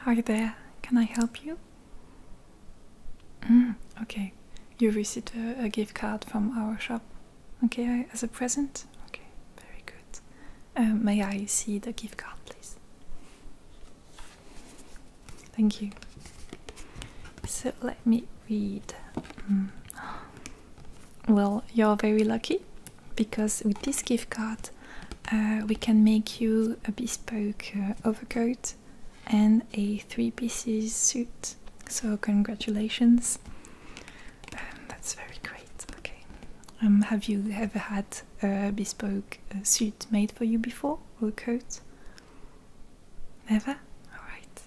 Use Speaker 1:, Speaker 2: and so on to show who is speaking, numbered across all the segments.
Speaker 1: Hi there, can I help you? Mm, okay, you received a, gift card from our shop. Okay, as a present? Okay, very good. Uh, may I see the gift card, please? Thank you. So let me read. Mm. Well, you're very lucky because with this gift card uh, we can make you a bespoke uh, overcoat and a three pieces suit. So, congratulations. Um, that's very great. Okay. Um, have you ever had a bespoke uh, suit made for you before or a coat? Never? Alright.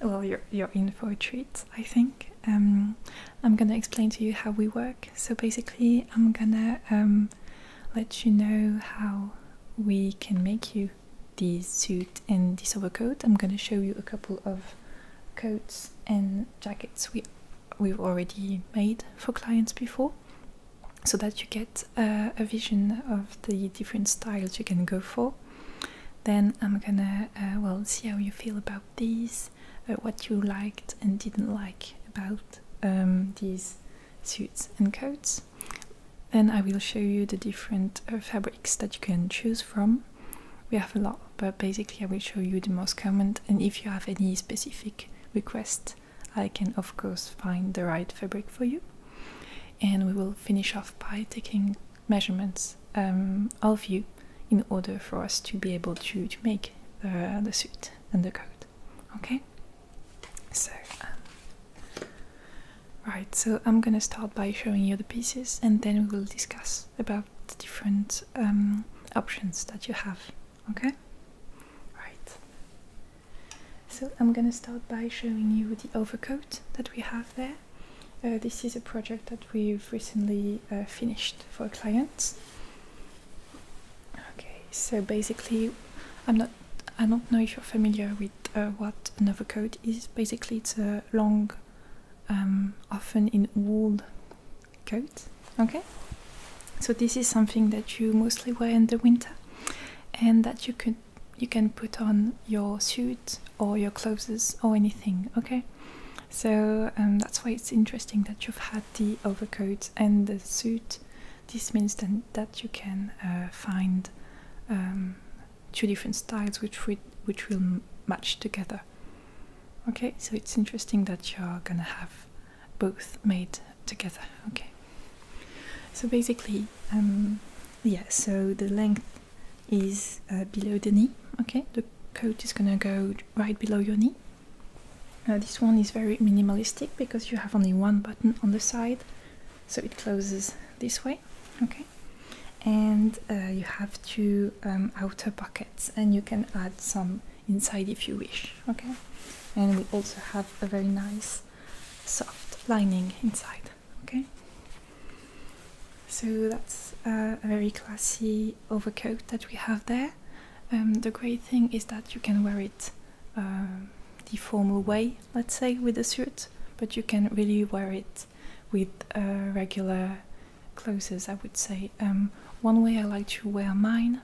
Speaker 1: Well, you're, you're in for a treat, I think. Um, I'm gonna explain to you how we work. So basically, I'm gonna um, let you know how we can make you this suit and this overcoat. I'm gonna show you a couple of coats and jackets we we've already made for clients before so that you get a vision of the different styles you can go for. Then I'm gonna uh, well see how you feel about these, uh, what you liked and didn't like about um, these suits and coats. Then I will show you the different uh, fabrics that you can choose from. We have a lot, but basically I will show you the most common. And if you have any specific requests, I can of course find the right fabric for you and we will finish off by taking measurements um, of you in order for us to be able to, to make the, the suit and the coat okay so um, right so i'm gonna start by showing you the pieces and then we will discuss about the different um, options that you have okay right so I'm gonna start by showing you the overcoat that we have there. Uh, this is a project that we've recently uh, finished for a client. Okay, so basically, I'm not. I don't know if you're familiar with uh, what an overcoat is. Basically, it's a long, um, often in wool coat. Okay, so this is something that you mostly wear in the winter, and that you could you can put on your suit or your clothes or anything okay so um, that's why it's interesting that you've had the overcoat and the suit this means then that you can uh, find um, two different styles which would which will match together okay so it's interesting that you're gonna have both made together okay so basically, um, yeah, so the length is uh, below the knee, okay? The coat is gonna go right below your knee. Uh, this one is very minimalistic because you have only one button on the side, so it closes this way, okay? And uh, you have two um, outer pockets, and you can add some inside if you wish, okay? And we also have a very nice soft lining inside okay so that's uh, a very classy overcoat that we have there um, the great thing is that you can wear it um, the formal way let's say with a suit but you can really wear it with uh, regular clothes i would say um, one way i like to wear mine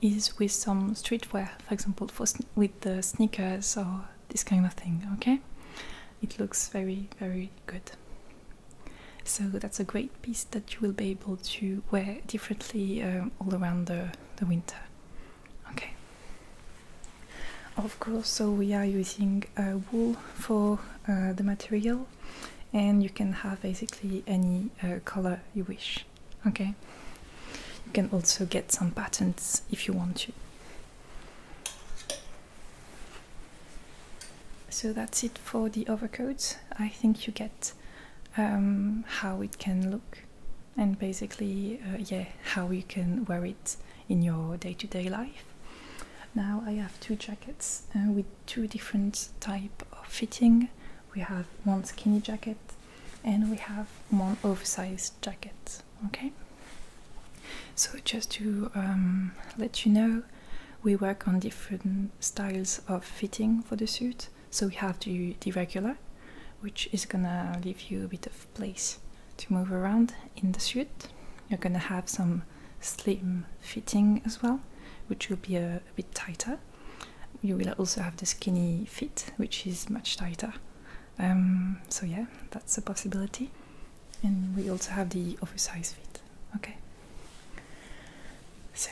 Speaker 1: is with some streetwear for example with the sneakers or this kind of thing okay it looks very very good so that's a great piece that you will be able to wear differently uh, all around the, the winter okay of course so we are using uh, wool for uh, the material and you can have basically any color you wish okay you can also get some patterns if you want to so that's it for the overcoats. I think you get um, how it can look and basically, uh, yeah, how you can wear it in your day-to-day life. Now I have two jackets uh, with two different type of fitting. We have one skinny jacket and we have one oversized jacket okay? So, just to um, let you know, we work on different styles of fitting for the suit. So, we have the, the regular, which is gonna leave you a bit of place to move around in the suit. You're gonna have some slim fitting as well, which will be a bit tighter. You will also have the skinny fit, which is much tighter um, so yeah, that's a possibility. And we also have the oversized fit. Okay. So,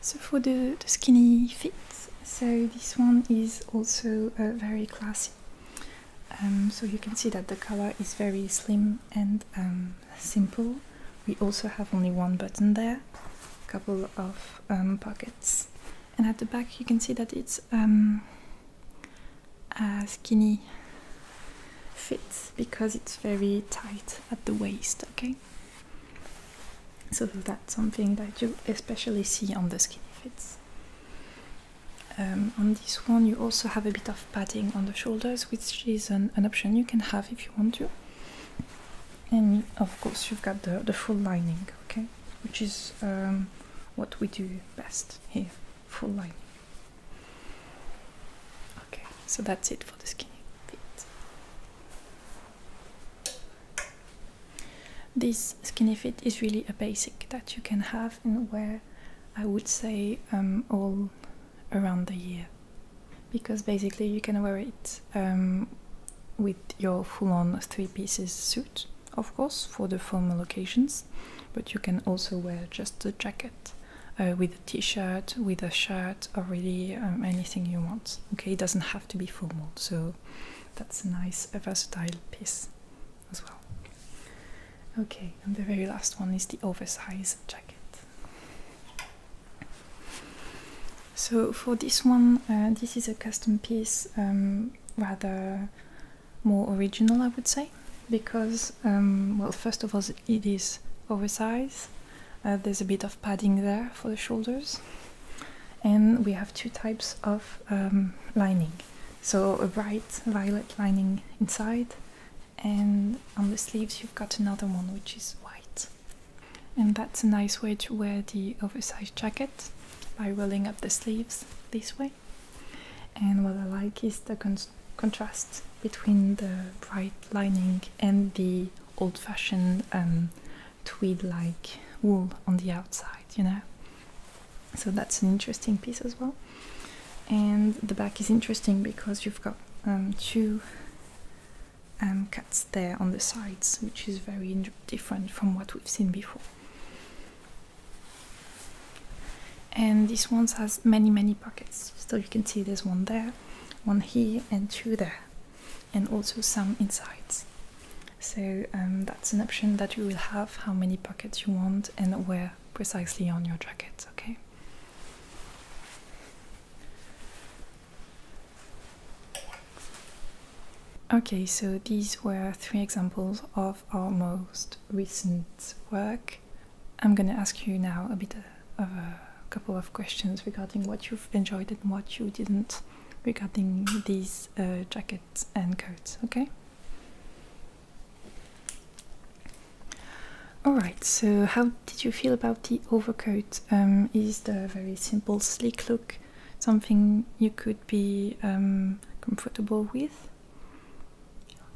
Speaker 1: so for the, the skinny fit, so this one is also uh, very classy. Um, so you can see that the color is very slim and um, simple. We also have only one button there, a couple of pockets, and at the back you can see that it's a um, uh, skinny fit because it's very tight at the waist okay so that's something that you especially see on the skinny fits um, on this one you also have a bit of padding on the shoulders which is an option you can have if you want to and of course you've got the, the full lining okay which is um, what we do best here full lining okay so that's it for the skinny fit this skinny fit is really a basic that you can have and wear I would say um, all around the year because basically you can wear it um, with your full-on three-pieces suit, of course, for the formal occasions, but you can also wear just the jacket uh, with a t-shirt, with a shirt, or really um, anything you want. Okay, it doesn't have to be formal, so that's a nice, versatile piece as well. Okay, and the very last one is the oversized jacket. So for this one, uh, this is a custom piece, um, rather more original, I would say, because um, well, first of all, it is oversized. Uh, there's a bit of padding there for the shoulders, and we have two types of um, lining. So a bright violet lining inside, and on the sleeves you've got another one which is white. And that's a nice way to wear the oversized jacket by rolling up the sleeves this way. And what I like is the contrast between the bright lining and the old fashioned um, tweed like wool on the outside, you know. So that's an interesting piece as well. And the back is interesting because you've got um, two um, there on the sides, which is very different from what we've seen before. And this one has many, many pockets. So you can see there's one there, one here, and two there, and also some insides. So um, that's an option that you will have how many pockets you want and where precisely on your jacket, okay? Okay, so these were three examples of our most recent work. I'm going to ask you now a bit of a couple of questions regarding what you've enjoyed and what you didn't regarding these uh, jackets and coats, okay? Alright, so how did you feel about the overcoat? Um, is the very simple sleek look something you could be um, comfortable with?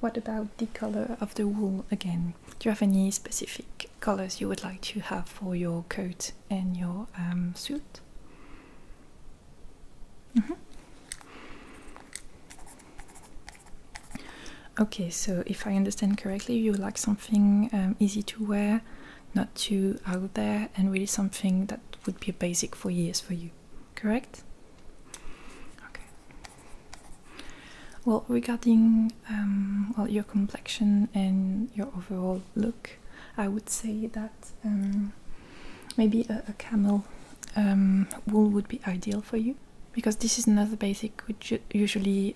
Speaker 1: What about the color of the wool again? Do you have any specific colors you would like to have for your coat and your um, suit? Mm-hmm. Okay, so if I understand correctly, you like something um, easy to wear, not too out there, and really something that would be basic for years for you, correct? Okay. Well, regarding um, well your complexion and your overall look, I would say that um, maybe a, camel um, wool would be ideal for you because this is another basic which usually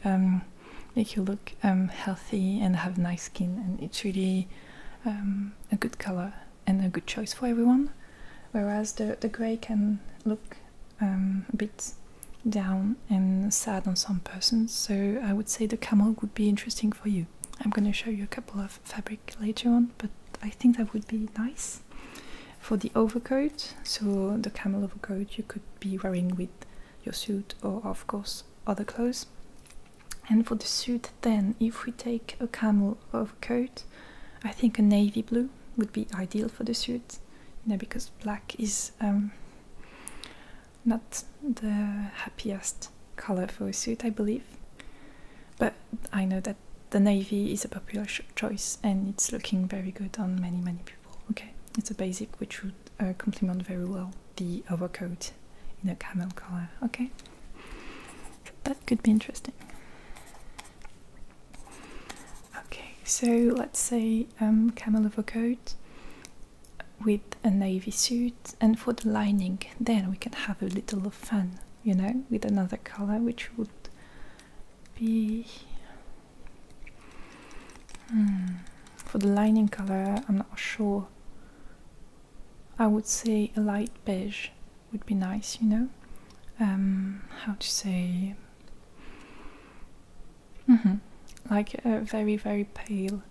Speaker 1: make you look healthy and have nice skin, and it's really um, a good color and a good choice for everyone. Whereas the, the grey can look um, a bit down and sad on some persons, so I would say the camel would be interesting for you. I'm going to show you a couple of fabric later on, but I think that would be nice. For the overcoat, so the camel overcoat you could be wearing with your suit or of course other clothes. And for the suit, then, if we take a camel coat, I think a navy blue would be ideal for the suit, you because black is um, not the happiest color for a suit, I believe. But I know that the navy is a popular choice and it's looking very good on many, many people. Okay, it's a basic which would uh, complement very well the overcoat in a camel color. Okay, that could be interesting. Okay, so let's say um, camel overcoat with a navy suit, and for the lining, then we can have a little fun, you know, with another color which would be. Hmm, for the lining color, I'm not sure I would say a light beige would be nice, you know. Um, how to say? Mm-hmm, like a very, very pale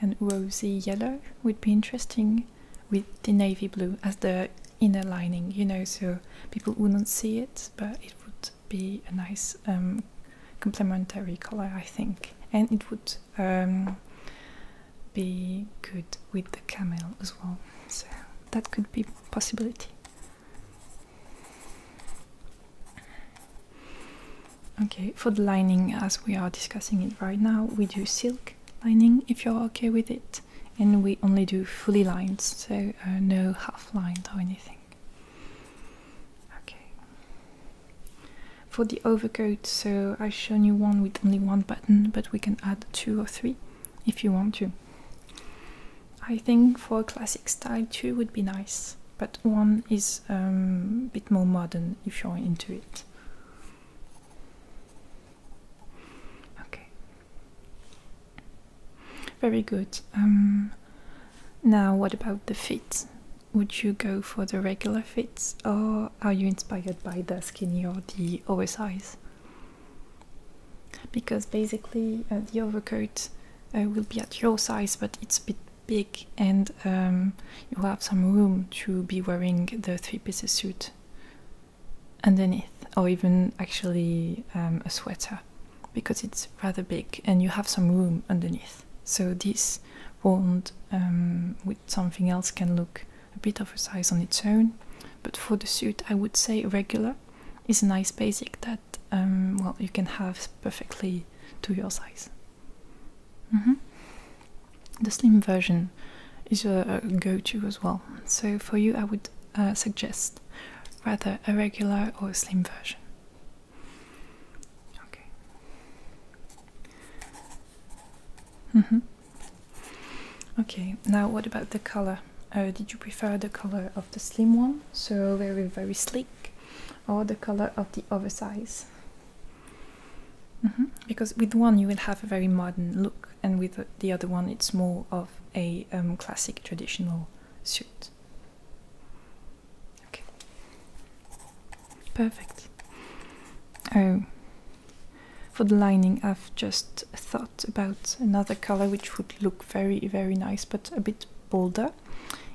Speaker 1: and rosy yellow would be interesting with the navy blue as the inner lining, you know, so people wouldn't see it, but it would be a nice um, complementary color, I think. And it would um, be good with the camel as well. So that could be possibility. Okay, for the lining, as we are discussing it right now, we do silk lining if you're okay with it, and we only do fully lined, so uh, no half lined or anything. Okay for the overcoat so i've shown you one with only one button but we can add two or three if you want to i think for a classic style two would be nice but one is um, a bit more modern if you're into it okay very good um, now what about the feet? would you go for the regular fits or are you inspired by the skinny or the oversize? Because basically uh, the overcoat uh, will be at your size but it's a bit big and um, you have some room to be wearing the three-piece suit underneath or even actually um, a sweater because it's rather big and you have some room underneath so this won't um, something else can look a bit oversized on its own. But for the suit, I would say regular is a nice basic that um, well you can have perfectly to your size. Mm-hmm. The slim version is a, go-to as well. So for you, I would uh, suggest rather a regular or a slim version. Okay. Mm-hmm. Okay, now what about the color? Uh, did you prefer the color of the slim one, so very, very sleek, or the color of the oversized? Mm-hmm. Because with one you will have a very modern look, and with the other one it's more of a um, classic traditional suit. Okay. Perfect. Oh, for the lining, I've just thought about another color which would look very, very nice but a bit bolder.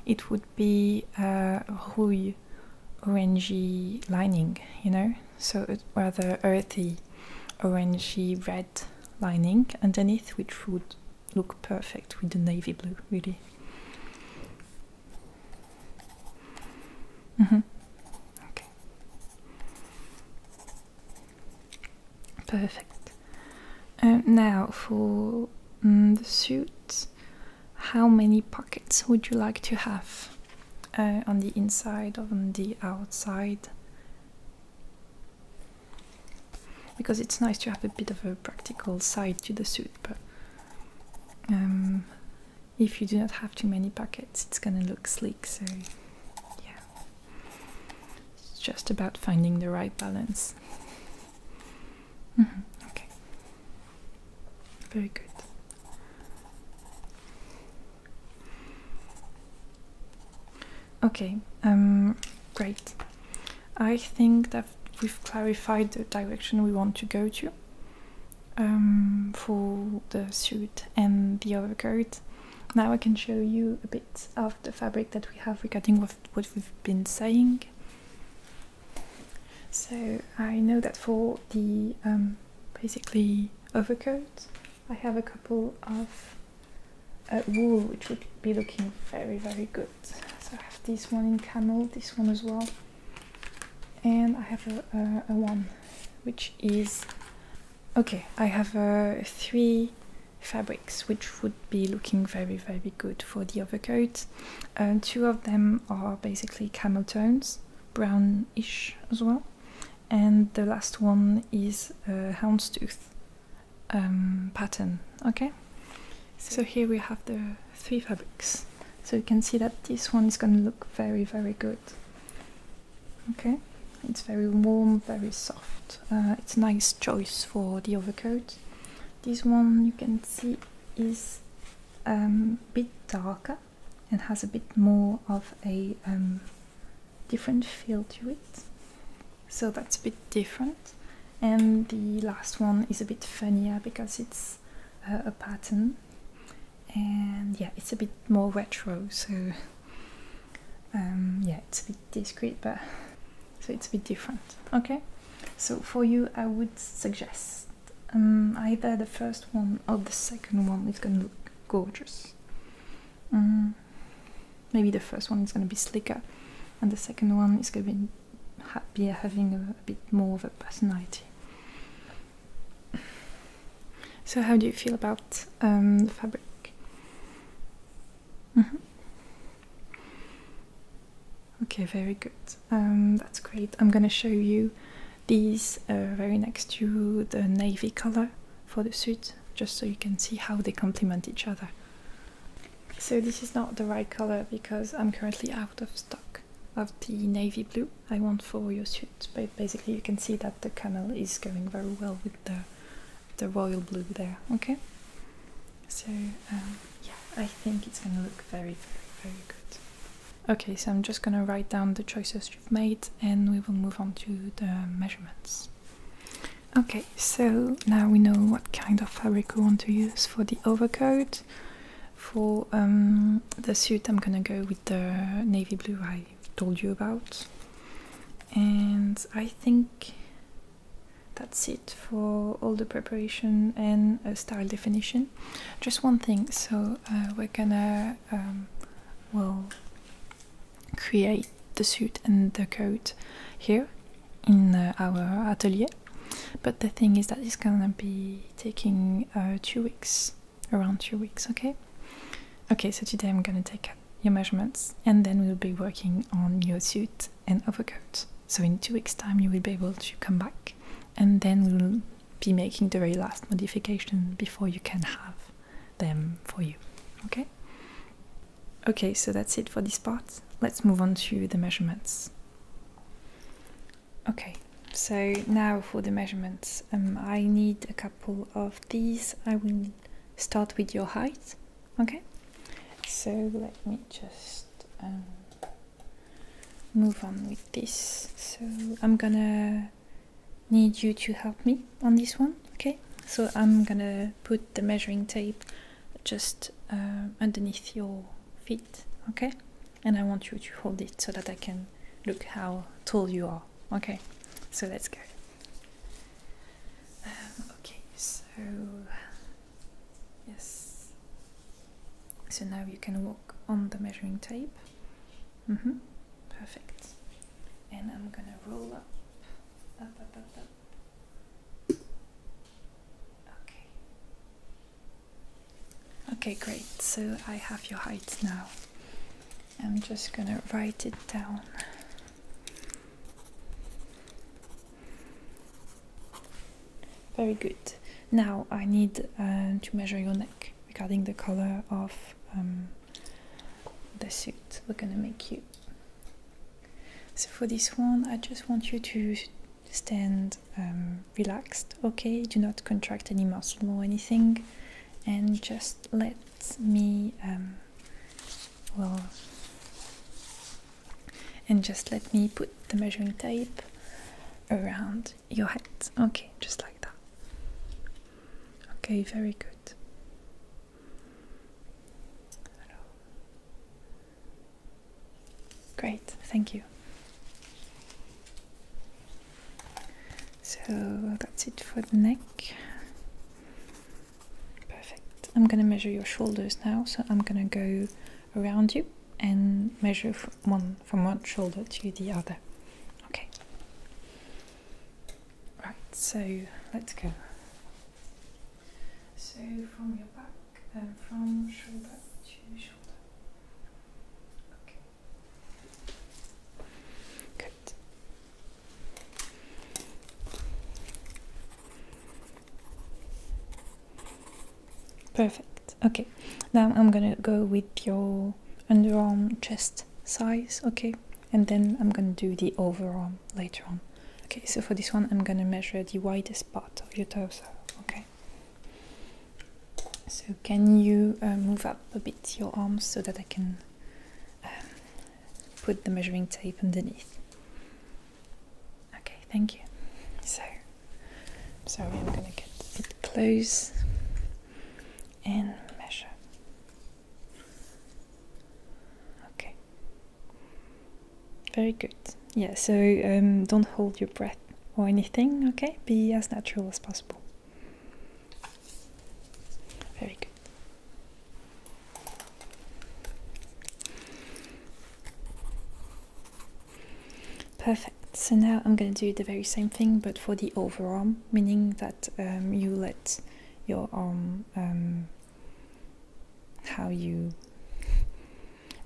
Speaker 1: It would be a uh, rouille, orangey lining, you know, so a uh, rather earthy, orangey red lining underneath, which would look perfect with the navy blue, really. Mm-hmm. Perfect. Um, now for mm, the suit, how many pockets would you like to have uh, on the inside or on the outside? Because it's nice to have a bit of a practical side to the suit, but um, if you do not have too many pockets it's gonna look sleek so yeah it's just about finding the right balance mm-hmm, okay very good okay um, great i think that we've clarified the direction we want to go to um, for the suit and the overcoat. Now I can show you a bit of the fabric that we have regarding what, what we've been saying. So I know that for the um, basically overcoat I have a couple of uh, wool which would be looking very very good. So I have this one in camel, this one as well and I have a, one which is okay I have uh, three fabrics which would be looking very very good for the overcoat uh, two of them are basically camel tones brownish as well and the last one is a houndstooth um, pattern okay so here we have the three fabrics so you can see that this one is going to look very very good Okay, it's very warm, very soft. Uh, it's a nice choice for the overcoat. This one you can see is a um, bit darker and has a bit more of a um, different feel to it. So that's a bit different. And the last one is a bit funnier because it's uh, a pattern and yeah it's a bit more retro so um, yeah it's a bit discreet but so it's a bit different okay so for you I would suggest um, either the first one or the second one is gonna look gorgeous mm. maybe the first one is gonna be slicker and the second one is gonna be, having a bit more of a personality so, how do you feel about um, the fabric? Mm-hmm. Okay, very good. Um, that's great. I'm gonna show you these uh, very next to the navy color for the suit, just so you can see how they complement each other. So this is not the right color because I'm currently out of stock of the navy blue I want for your suit. But basically, you can see that the camel is going very well with the the royal blue there. Okay. So um, yeah, I think it's gonna look very, very, very good. Okay, so I'm just gonna write down the choices you've made, and we will move on to the measurements. Okay, so now we know what kind of fabric we want to use for the overcoat. For um, the suit, I'm gonna go with the navy blue I told you about, and I think that's it for all the preparation and style definition. Just one thing, so uh, we're gonna um, well create the suit and the coat here in uh, our atelier, but the thing is that it's gonna be taking uh, two weeks around two weeks, okay? Okay, so today I'm gonna take your measurements and then we'll be working on your suit and overcoat. So in two weeks' time you will be able to come back and then we'll be making the very last modification before you can have them for you, okay? Okay, so that's it for this part. Let's move on to the measurements. Okay, so now for the measurements. Um, I need a couple of these. I will start with your height. Okay, so let me just um, move on with this. So I'm gonna need you to help me on this one. Okay, so I'm gonna put the measuring tape just uh, underneath your feet. Okay and I want you to hold it so that I can look how tall you are. Okay, so let's go. Um, okay, so yes, so now you can walk on the measuring tape. Mm -hmm. Perfect. And I'm gonna roll up, up, up, up, up. Okay. Okay, great. So I have your height now. I'm just gonna write it down. Very good. Now I need uh, to measure your neck regarding the color of um, the suit we're gonna make you. So for this one, I just want you to stand um, relaxed, okay? Do not contract any muscle or anything and just let me um, well and just let me put the measuring tape around your head okay just like that okay very good great thank you so that's it for the neck. Perfect. I'm gonna measure your shoulders now, so I'm gonna go around you and measure from one from one shoulder to the other. Okay. Right, so let's go. So from your back and um, from shoulder to shoulder. Good. Perfect. Okay. Now I'm gonna go with your underarm chest size, okay? And then I'm gonna do the overarm later on. Okay, so for this one, I'm gonna measure the widest part of your torso, okay? So, can you uh, move up a bit your arms so that I can um, put the measuring tape underneath? Okay, thank you. So, sorry, I'm going to get a close and measure. Okay, very good. Yeah, so um, don't hold your breath or anything, okay? Be as natural as possible. Very good. Perfect. So now I'm going to do the very same thing but for the overarm, meaning that um, you let your arm, um, how you,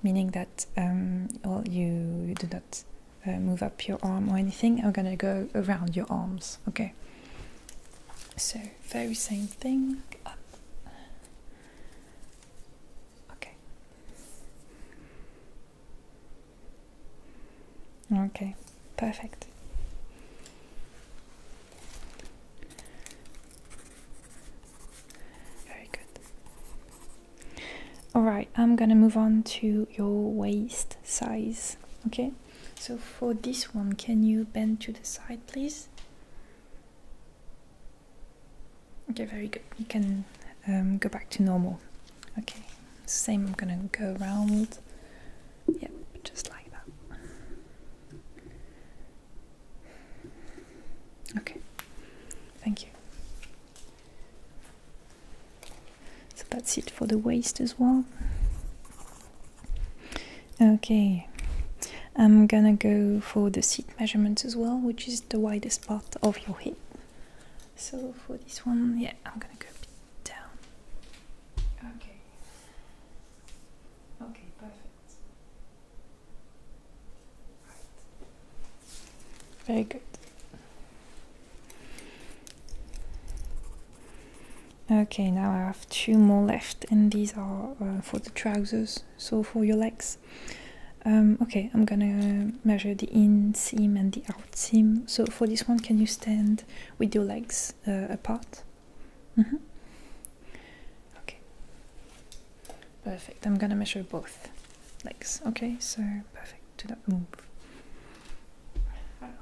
Speaker 1: meaning that, um, well, you, you do not uh, move up your arm or anything. I'm gonna go around your arms, okay? So, very same thing. Okay. Okay, perfect. Very good. Alright, I'm gonna move on to your waist size. Okay, so for this one, can you bend to the side, please? Okay, very good. You can um, go back to normal. Okay, same. I'm gonna go around. Yep, just like that. Okay, thank you. So that's it for the waist as well. Okay, I'm gonna go for the seat measurements as well, which is the widest part of your hip. So for this one, yeah, I'm gonna go down. Okay. Okay, perfect. Very good. Okay, now I have two more left, and these are uh, for the trousers, so for your legs. Um, okay, I'm gonna measure the in seam and the out seam. So for this one, can you stand with your legs uh, apart? Mm -hmm. Okay, perfect. I'm gonna measure both legs. Okay, so perfect to that move. Okay,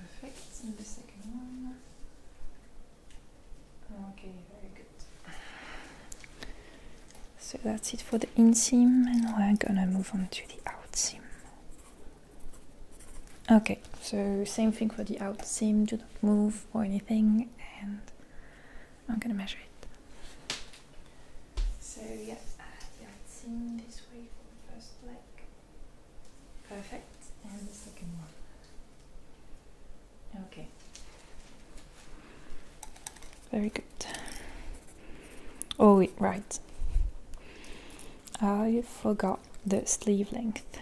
Speaker 1: perfect. the second one. Okay, very good. So that's it for the inseam, and I'm gonna move on to the outseam. Okay, so same thing for the out seam, do not move or anything, and I'm gonna measure it. So yeah, uh, I haven't seen this way for the first leg. Perfect, and the second one. Okay. Very good. Oh, wait, right. I forgot the sleeve length.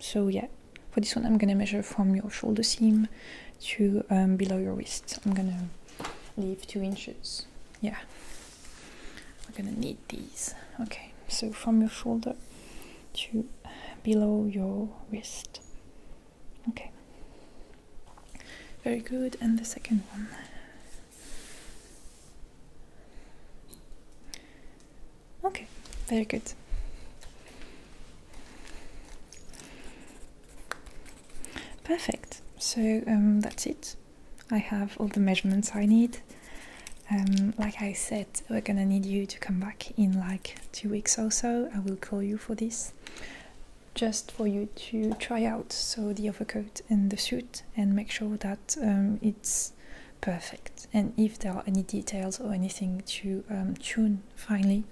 Speaker 1: So yeah, for this one, I'm gonna measure from your shoulder seam to um, below your wrist. I'm gonna leave two inches. Yeah, we're gonna need these. Okay, so from your shoulder to below your wrist. Okay, very good. And the second one. Okay, very good. Perfect. So um, that's it. I have all the measurements I need. Um, like I said, we're gonna need you to come back in like two weeks or so. I will call you for this, just for you to try out so the overcoat and the suit and make sure that um, it's perfect. And if there are any details or anything to tune finally,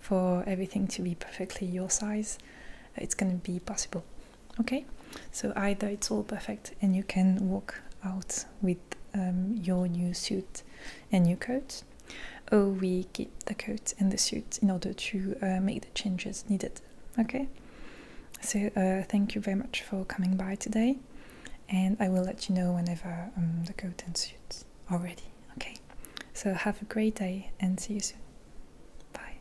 Speaker 1: for everything to be perfectly your size, uh, it's going to be possible. Okay, so either it's all perfect and you can walk out with um, your new suit and new coat, or we keep the coat and the suit in order to uh, make the changes needed. Okay, so uh, thank you very much for coming by today, and I will let you know whenever um, the coat and suits already. Okay, so have a great day and see you soon. Bye.